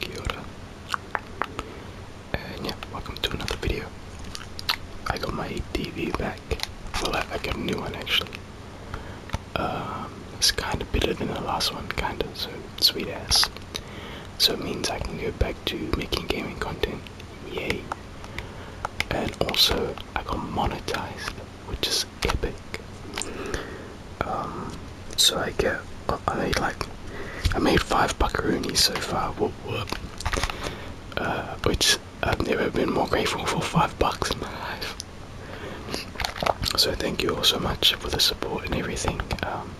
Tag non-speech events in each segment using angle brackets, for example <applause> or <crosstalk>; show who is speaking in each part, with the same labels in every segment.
Speaker 1: Kia And yeah, welcome to another video. I got my TV back. Well, I, got a new one actually. Um, it's kind of better than the last one, kind of, so sweet ass. So it means I can go back to making gaming content. Yay. And also, I got monetized, which is epic. Um, so I get, I made like, I made five buckaroonies so far, uh, which I've never been more grateful for five bucks in my life. So thank you all so much for the support and everything. Um,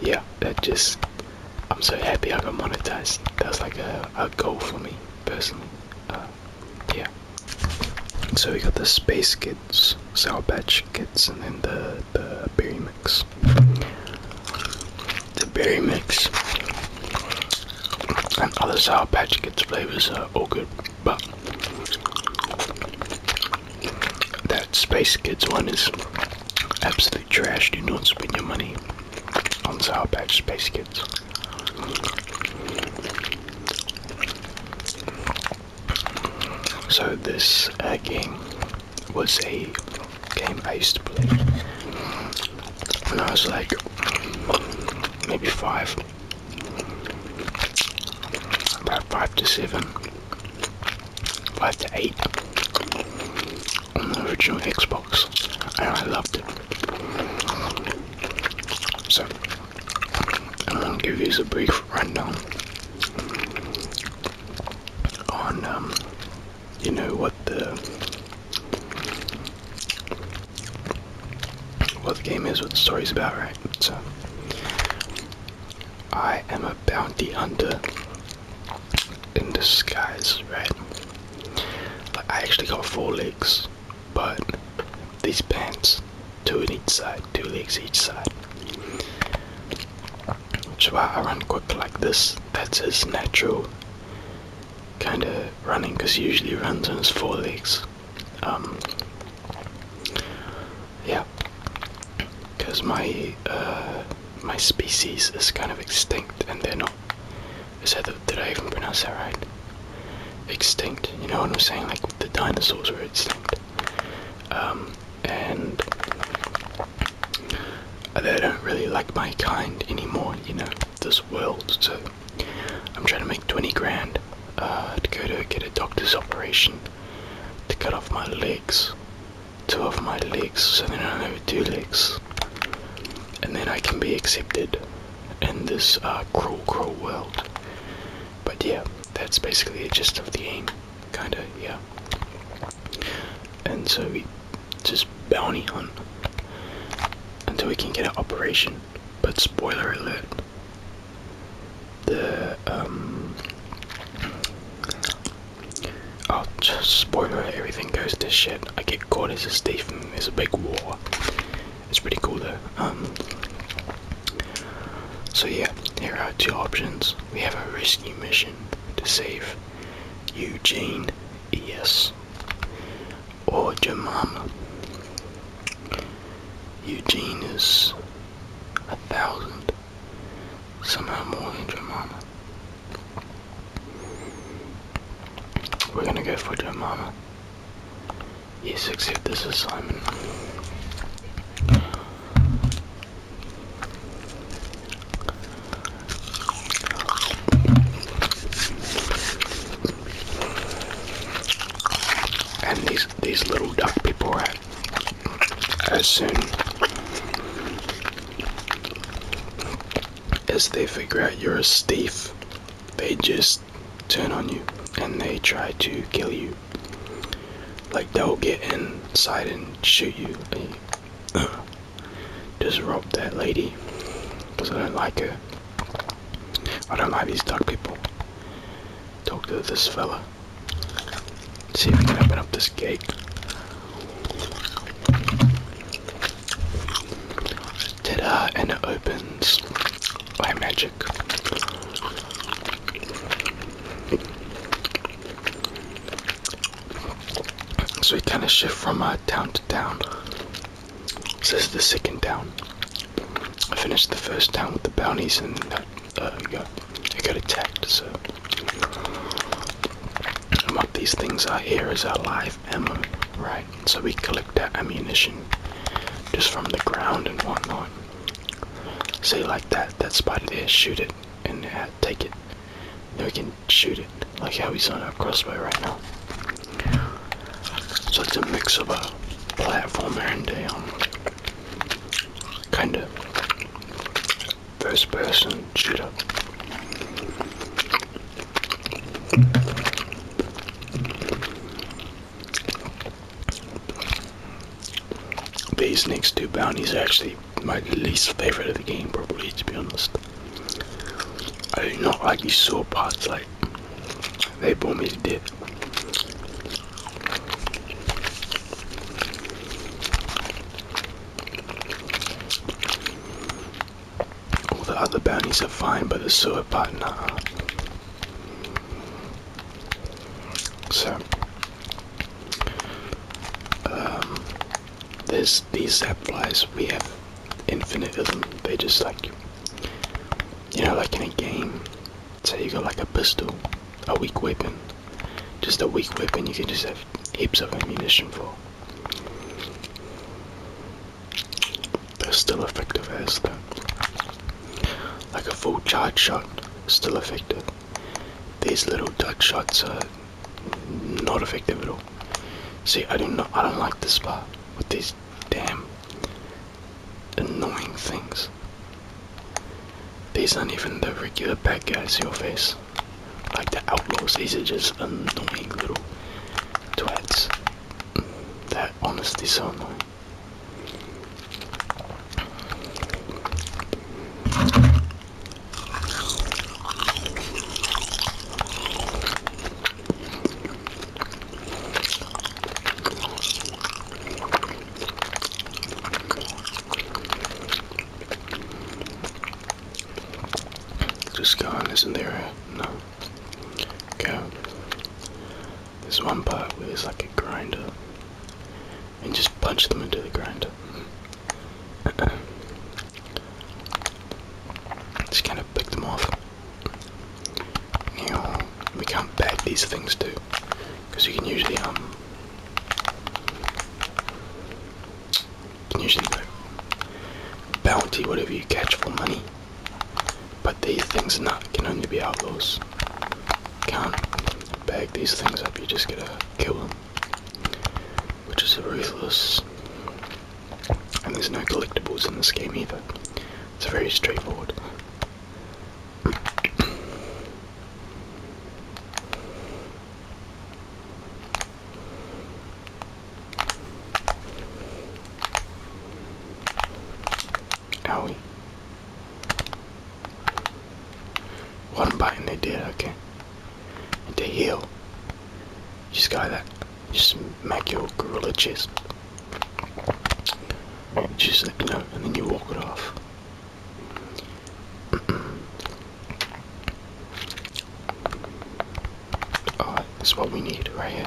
Speaker 1: yeah, that just, I'm so happy I got monetized. That's like a, a goal for me personally. Uh, yeah. So we got the Space Kids, Sour Patch Kids, and then the the berry mix. The berry mix and other sour patch kids flavors are all good, but that space kids one is absolutely trashed. trash. Do not spend your money on sour patch space kids. So this uh, game was a game I used to play when I was like maybe five, about five to seven, five to eight on the original Xbox, and I loved it. So I'm gonna give you a brief rundown on um, you know what the what the game is, what the story's about, right? So I am a bounty hunter in disguise, right? Like I actually got four legs, but these pants two in each side, two legs each side. Why I run quick like this. That's his natural kind of running because he usually runs on his four legs. Um, yeah, because my uh, my species is kind of extinct and they're not. Is that did I even pronounce that right? Extinct. You know what I'm saying? Like the dinosaurs were extinct. Um, and they don't really like my kind anymore, you know, this world. So I'm trying to make 20 grand uh, to go to get a doctor's operation to cut off my legs, two of my legs, so then I have two legs, and then I can be accepted in this uh, cruel, cruel world. But yeah, that's basically the gist of the aim. Kinda, yeah. And so we just bounty on until we can get an operation. But spoiler alert, the um oh just spoiler everything goes to shit. I get caught as a thief there's a big war. It's pretty cool though. Um so yeah, here are two options we have a rescue mission to save Eugene Yes, or Jemima. Eugene is a thousand, somehow more than Jemima. We're gonna go for Jemima. Yes, accept this assignment. And these these little duck people are as soon as they figure out you're a thief, they just turn on you and they try to kill you. Like they'll get inside and shoot you. And <clears throat> you disrupt that lady. Cause I don't like her. I don't like these dark people. Talk to this fella. see if we can open up this gate. ta And it opens by magic. So we kind of shift from town uh, to town. So this is the second town. I finished the first town with the bounties and that, uh, uh, got, attacked, so. what these things are here is our live ammo, right? So we collect our ammunition just from the ground and whatnot. Say like that, that spider there, shoot it and uh, take it. Then we can shoot it, like how he's on our crossbow right now. So it's a mix of a platformer and a um, kind of first person shooter. These next two bounties are actually my least favorite of the game, probably, to be honest. I do not like these sewer parts, like, they bore me to death. All the other bounties are fine, but the sword part, nah. So, um, there's these zap flies. We have infinite of them. They just like, you know, like in a game. Say you got like a pistol, a weak weapon, just a weak weapon. You can just have heaps of ammunition for. They're still effective as though. Like a full charge shot, still effective. These little duck shots are not effective at all. See, I do not, I don't like this part with these damn annoying things. These aren't even the regular bad guys in your face, like the outlaws. These are just annoying little twats. That honestly so annoying. Just gone, isn't there? No. Okay. There's one part where there's like a grinder and just punch them into the ground. <clears throat> just kind of pick them off. we can't bag these things too, because you can usually, um, you can usually like, bounty whatever you catch for money, but these things not, can only be outlaws can't bag these things up, you just gotta kill them. Which is ruthless. And there's no collectibles in this game either. It's very straightforward. Owie. One bite and they did, okay. And they heal. just go there. Just make your gorilla chest. Just you know, and then you walk it off. <clears throat> Alright, that's what we need right here.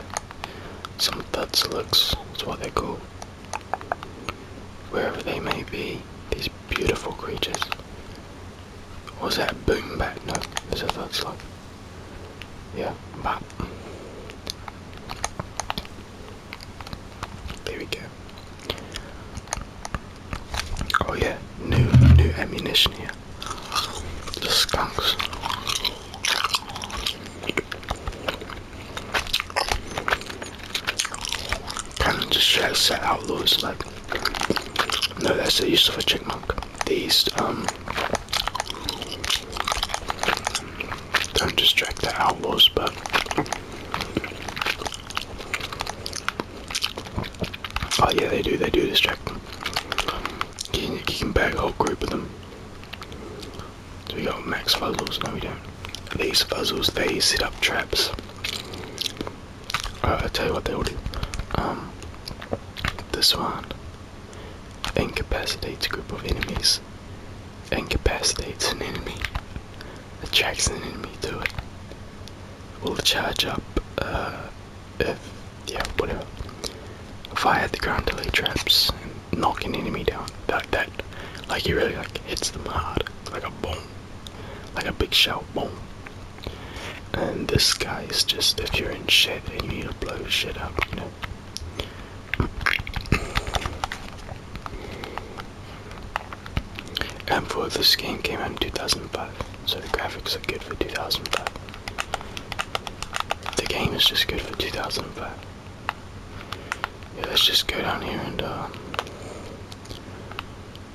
Speaker 1: Some thuds looks, that's what they're called. Wherever they may be, these beautiful creatures. Was that boom boombat? No, there's a third slug. Yeah, there we go. Oh yeah, new new ammunition here. The skunks. Kind of just checks that out Lewis like No, that's the use of a chipmunk. These um don't distract the outlaws, but oh yeah, they do. They do distract them. You can, you can bag a whole group of them. So we got max fuzzles. No, we don't. These fuzzles, they set up traps. I'll tell you what they will do. Um, this one incapacitates a group of enemies, incapacitates an enemy, attracts an enemy to it, will charge up uh, if, yeah, whatever, fire the ground delay traps and knock an enemy down. That, that, like, he really like hits them hard, like a bomb like a big shell, bomb, And this guy is just if you're in shit and you need to blow shit up, you know. And for this game came out in 2005, so the graphics are good for 2005. The game is just good for 2005. Yeah, let's just go down here and uh,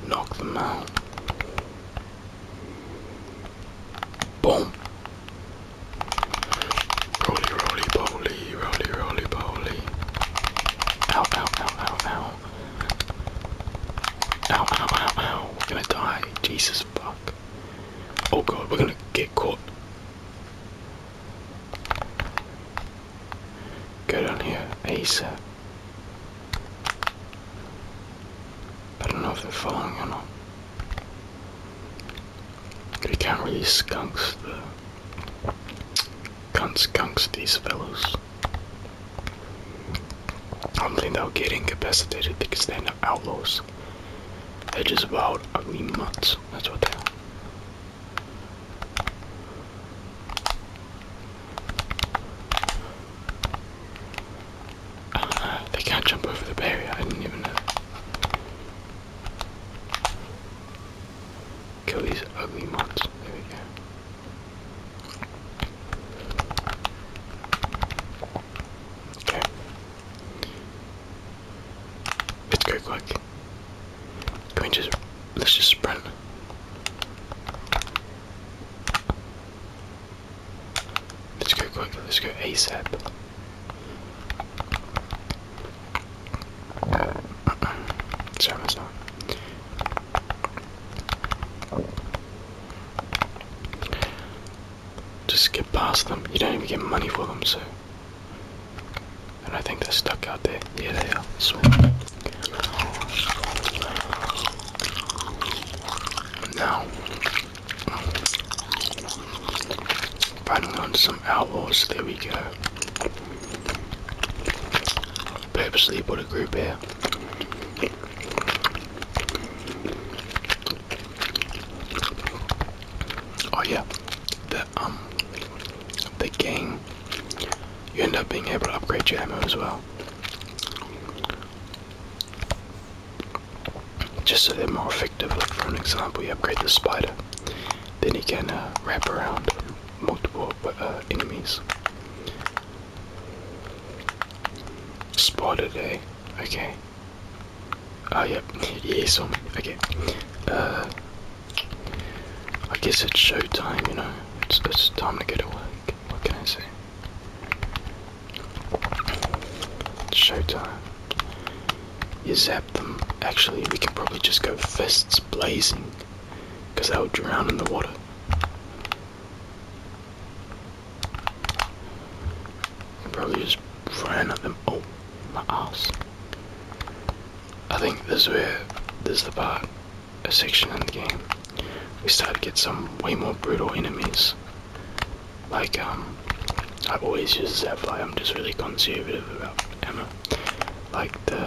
Speaker 1: knock them out. Boom. Roly, roly, poly, roly, roly, poly. Ow, ow, ow, ow, ow. Ow, ow, ow, ow. We're gonna die. Jesus fuck. Oh god, we're gonna get caught. Get on here, ASAP. I don't know if they're following or not. They can't really skunks the can skunks these fellows. I don't think they'll get incapacitated because they're not outlaws. They're just wild ugly mutts, that's what they are. Uh, <sighs> they can't jump over the barrier, I didn't even know. Kill these ugly monsters. There we go. Okay. Let's quick. just let's just sprint Let's go quick, let's go ASAP. Sorry, not. Just get past them. You don't even get money for them, so. And I think they're stuck out there. Yeah, they are. Now, finally on some outlaws. there we go. Purposely put a group here. Oh yeah, the um, the gang, you end up being able to upgrade your ammo as well. Just so they're more effective. for an example, you upgrade the spider, then you can uh, wrap around multiple uh, enemies. Spider eh? Okay. Oh, yep. Yeah, he Okay. Uh, I guess it's showtime, you know it's, time to get awake. What can I say? It's showtime. You zap them. Actually, we can probably just go fists blazing. Because they'll drown in the water. Probably just ran at them. Oh, my ass. I think this is where, this is the part a section in the game, we start to get some way more brutal enemies. Like, um, I always use Zapfly, I'm just really conservative about ammo. Like the,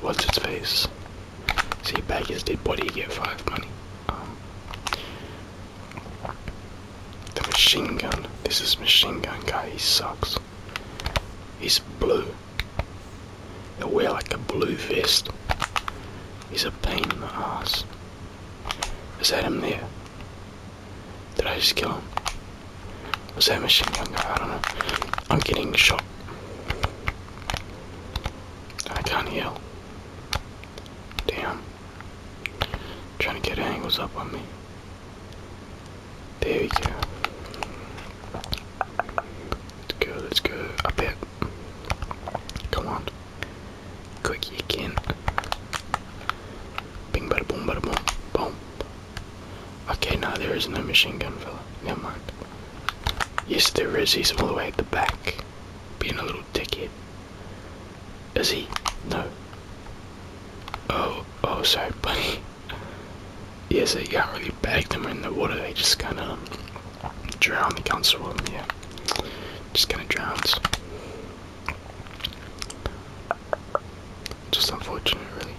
Speaker 1: what's its face? See, back his dead body, get 5 money. Um, the machine gun, this is machine gun guy, he sucks. He's blue. He'll wear like a blue vest. He's a pain in the ass. Is that him there? Did I just kill him? Was that machine gun guy? I don't know. I'm getting shot. I can't heal. Damn. Trying to get angles up on me. There we go. Let's go, let's go. Up it. Come on. Quick, you can. boom, boom, boom. Boom. Okay, now there is no machine gun fella. Never mind. Yes, there is. He's all the way at the back. Being a little dickhead. Is he? No. Oh, oh, sorry, buddy. <laughs> Yes, so got really bag them in the water. They just kind of. Um, drown the council yeah just kind of drowns just unfortunate really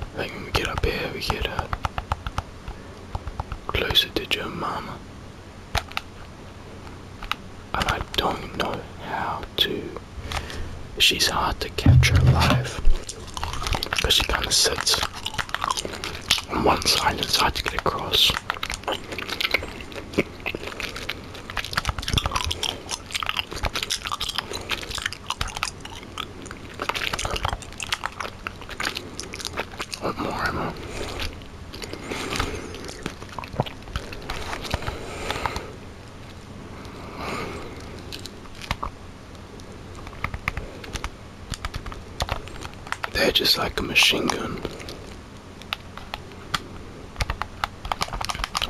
Speaker 1: I think when we get up here we get uh, closer to your mama and I don't know how to She's hard to catch alive because she kind of sits on one side and it's hard to get across. One more, they're just like a machine gun.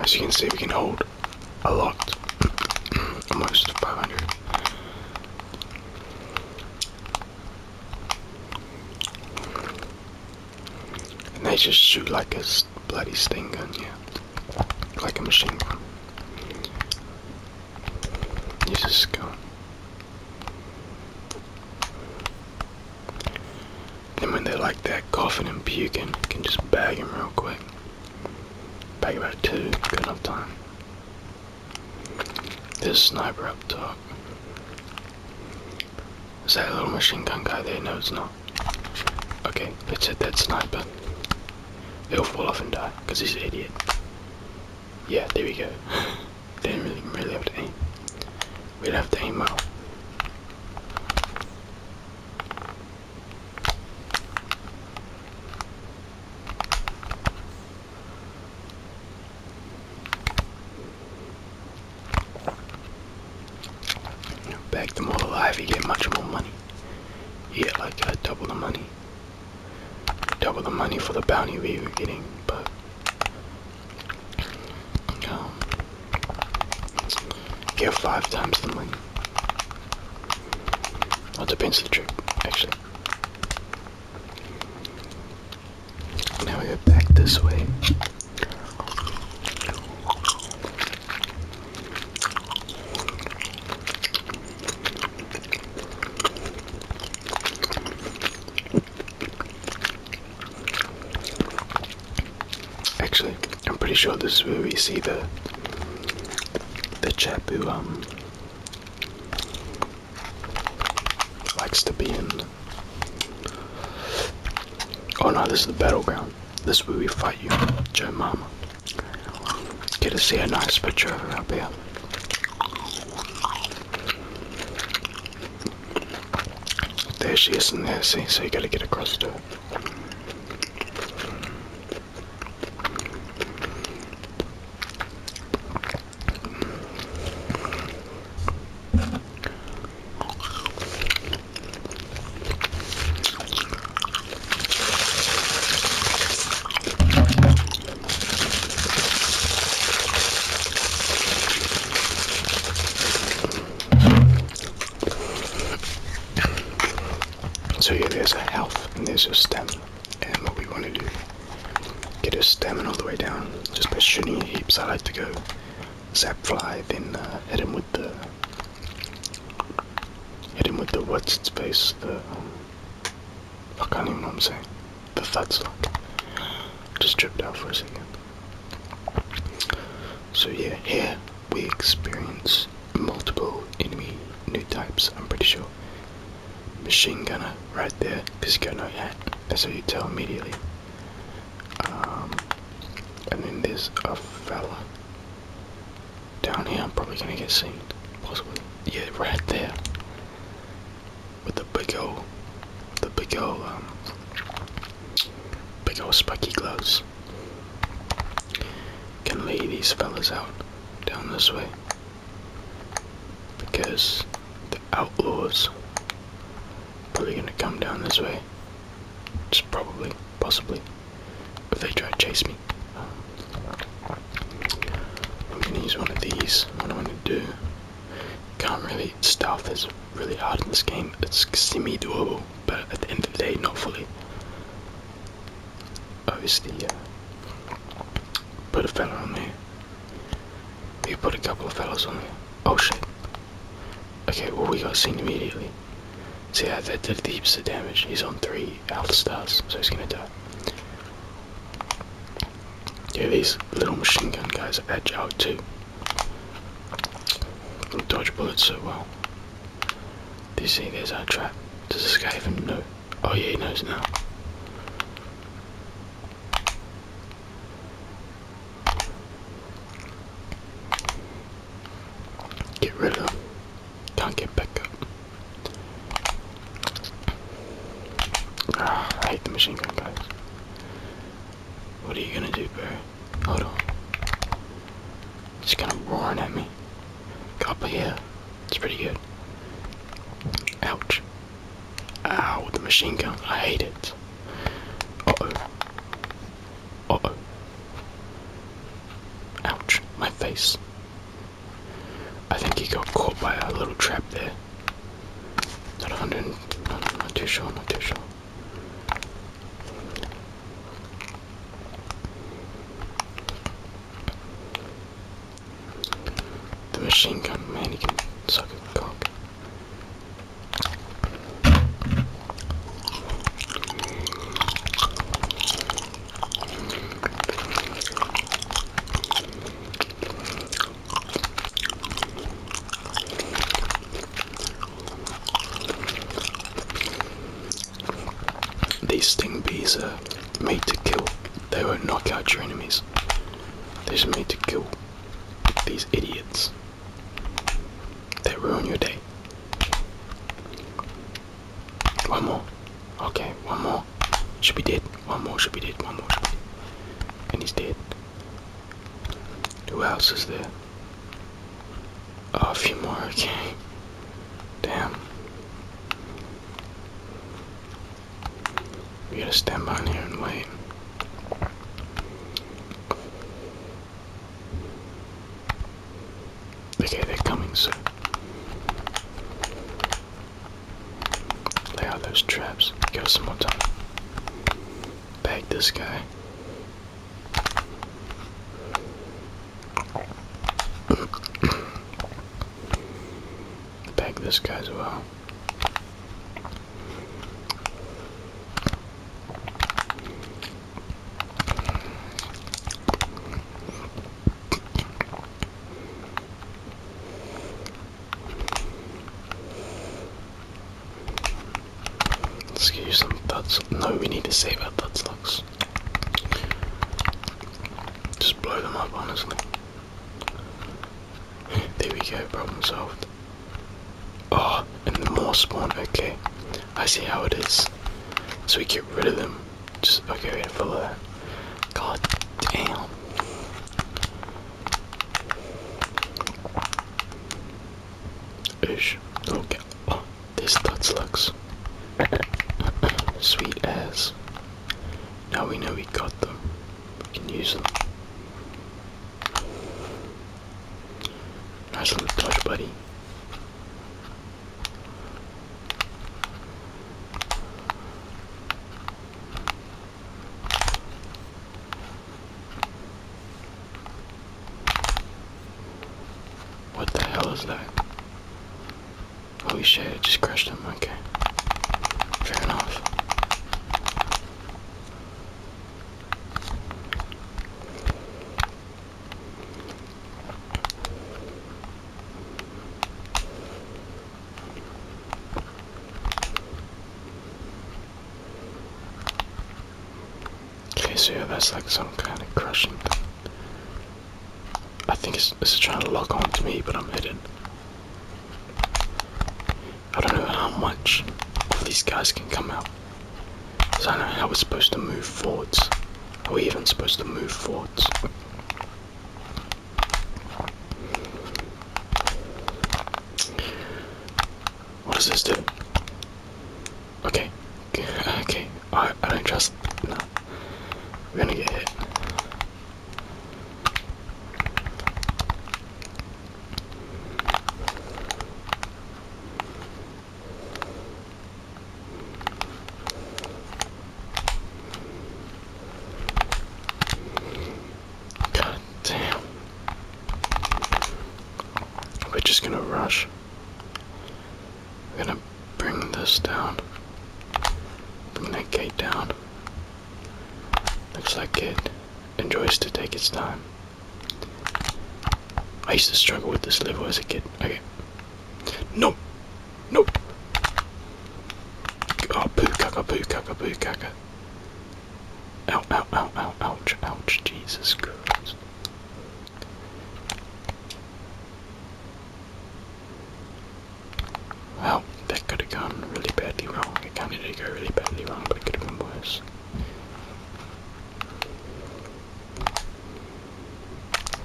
Speaker 1: As you can see, we can hold a lot, <clears throat> almost 500. And they just shoot like a bloody sting gun, yeah. Like a machine gun. You just go. Then when they're like that, coughing and puking, you can just bag them real quick. Bag about two, good enough time. This sniper up top. Is that a little machine gun guy there? No, it's not. Okay, let's hit that sniper. He'll fall off and die, because he's an idiot. Yeah, there we go. <laughs> they didn't really, really have to aim. We'd have to aim well. Back them all alive, you get much more money. You get like uh, double the money. Double the money for the bounty we were getting, but. Um, get five times the money. That depends the trip, actually. Now we go back this way. Actually, I'm pretty sure this is where we see the the chap who um likes to be in. Oh no, this is the battleground. This way we fight you, Joe Mama. Get to see a nice picture of her up here. There she is in there, see, so you gotta get across to her. So yeah, there's a health and there's a stem. And what we want to do, get a stamina all the way down. Just by shooting heaps, I like to go zap fly, then uh, hit him with the Hit him with the what's its face, the um, I do not even know what I'm saying. The thud stock. Just tripped out for a second. So yeah, here we experience multiple enemy new types, I'm pretty sure. Machine gunner right there, because you got no hat. That's how you tell immediately. Um, and then there's a fella down here, I'm probably gonna get seen. Possibly. Yeah, right there. With the big old, the big old, um, big old spiky gloves. Can lay these fellas out down this way. Because the outlaws probably gonna come down this way. It's probably, possibly. But they try to chase me. I'm gonna use one of these. What I'm gonna do. Can't really stealth this really hard in this game. It's semi doable, but at the end of the day, not fully. Obviously, yeah. Put a fella on me. You put a couple of fellas on me. Oh shit. Okay, well we got seen immediately. So yeah, that did heaps of damage. He's on three health stars, so he's gonna die. Yeah, these little machine gun guys edge out too. Can dodge bullets so well. Do you see there's our trap? Does this guy even know? Oh yeah, he knows now. Get rid of. them. Can't get back up. Ah, I hate the machine gun guys. What are you gonna do, bro? Hold on. It's kind of roaring at me. God, here. it's pretty good. Ouch. Ow, the machine gun. I hate it. oh. Ouch, my face. I think he got caught by a little trap there. Not 100, not, not too sure, not too sure. The machine gun mannequin. he suck a cock. These sting bees are made to kill. They will knock out your enemies. They're just made to kill these idiots. They ruin your day. One more. Okay, one more. Should be dead. One more should be dead. One more should be dead. And he's dead. Who else is there? a few more. <laughs> Okay. Damn. We gotta stand by here and wait. Okay, they're coming soon. They out, those traps. Go some more time. Bag this guy. Bag this guy as well. Let's use some thuds. No, we need to save our thoughts. stocks. Just blow them up, honestly. there we go, problem solved. Oh, and the more spawn, okay. I see how it is. So we get rid of them. Just by getting full of that. God damn. Ish. Okay. Oh, this Tuts looks. Sweet ass. Now we know we got them. We can use them. Nice little touch, buddy. What the hell is that? Holy shit, I just crushed him, okay. Fair enough. Okay, so yeah, that's like some kind of crushing thing. I think it's, it's trying to lock on to me, but I'm hitting. I don't know how much these guys can come out. So I know how we're supposed to move forwards. Are we even supposed to move forwards? What does this do? Okay, okay. I, I don't trust. No, we're gonna get hit. God damn. We're just gonna rush. We're gonna bring this down. Bring that gate down. Looks like it enjoys to take its time. I used to struggle with this level as a kid. Okay. No. Nope. Oh, poo caca, poo ouch, ouch. Jesus Christ. Well, that could have gone really badly wrong. It kind of did go really badly wrong, but it could have been worse.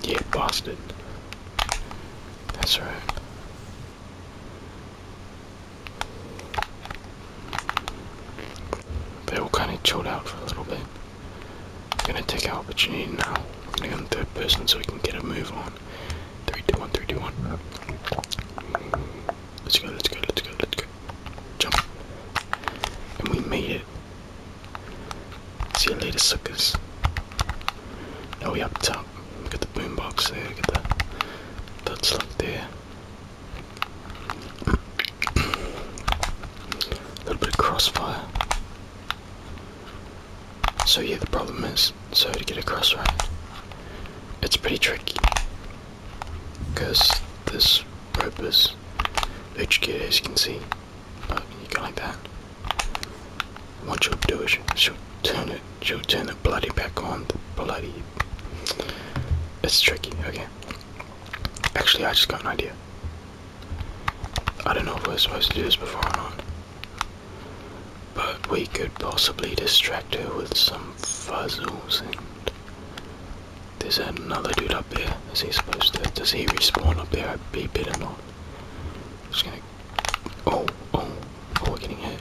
Speaker 1: Yeah, Boston. That's right. They all kind of chilled out for a little bit. I'm gonna take out what you need now. We're gonna go in third person so we can get a move on. Three, two, one. let Let's go, let's go, let's go, let's go. Jump. And we made it. See you later, suckers. Now we up top. Look at the boombox there. Got the butt slug there. A <clears throat> little bit of crossfire. So yeah, the problem is, so to get across right, it's pretty tricky. Because this rope is HK, as you can see. Uh, you go like that. What you'll do is she'll turn it, she'll turn the bloody back on. The bloody. It's tricky, okay. Actually, I just got an idea. I don't know if we're supposed to do this before or not. But we could possibly distract her with some fuzzles and there's another dude up there. Is he supposed to? Does he respawn up there? He better not. I'm just gonna. Oh, oh, oh, we're getting hit.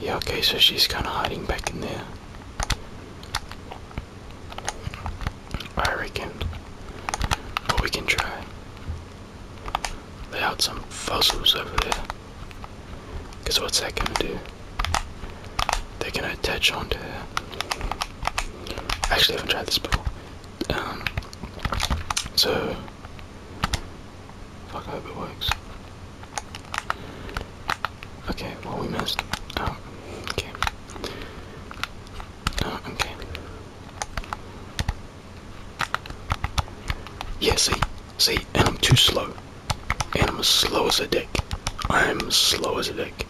Speaker 1: Yeah, okay, so she's kind of hiding back in there. I reckon. But we can try. They had some fossils over there. Because what's that gonna do? They're gonna attach onto her. Actually, I haven't tried this before. Um, so, fuck, I hope it works. Okay, well, we missed. Oh, okay. Oh, okay. Yeah, see, See, and I'm too slow. And I'm as slow as a dick. I'm as slow as a dick.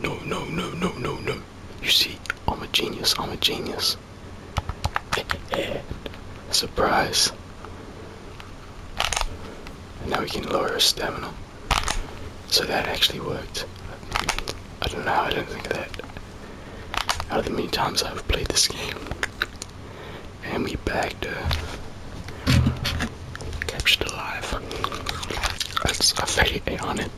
Speaker 1: No, no, no, no, no, no. You see, I'm a genius. I'm a genius. <laughs> Surprise. And now we can lower our stamina. So that actually worked. I don't know I do not think that. Out of the many times I've played this game and we bagged her. captured it alive. That's a fatty on it.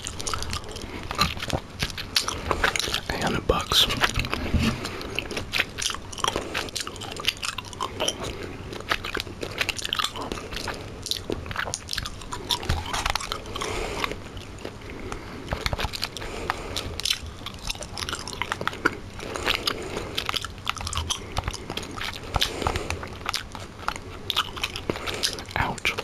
Speaker 1: A hundred bucks. Ouch.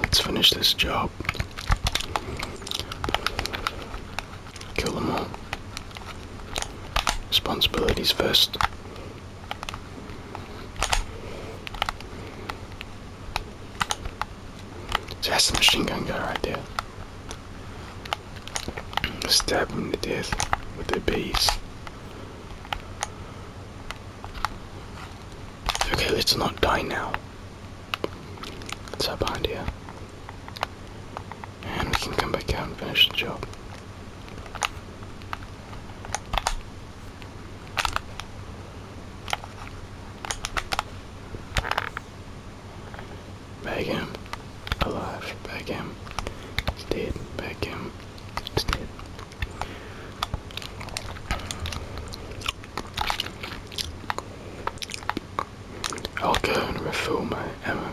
Speaker 1: Let's finish this job. Kill them all. Responsibilities first that's a machine gun guy right there. Stab him to death with the bees. Okay, let's not die now. let What's up behind here? And we can come back out and finish the job. Bag him. Alive. Bag him. dead. Bag him. dead. I'll go and refill my ammo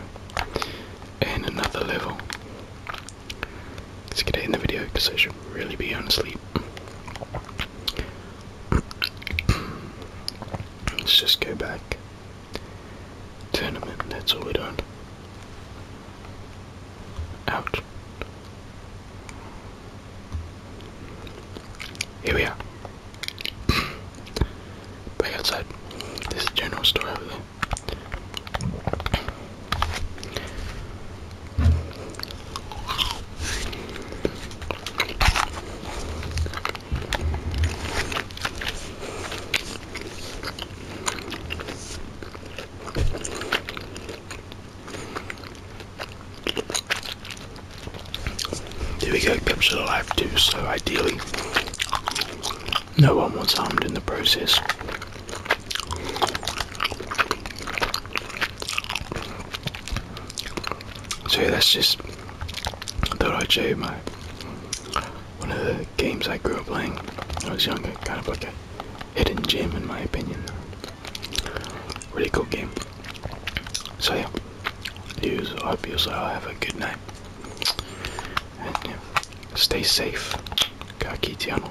Speaker 1: in another level. Let's get it in the video because I should really be on sleep. Let's just go back. Tournament, that's all we're doing. Out. Here we are. Back outside. This general store over there. There we go, kept alive too, so ideally no one was harmed in the process. So that's just thought I'd show you my one of the games I grew up playing when I was younger, kind of like a hidden gem in my opinion. Really cool game. So yeah, you hope I will have a good night. And yeah, stay safe. Kakitiano.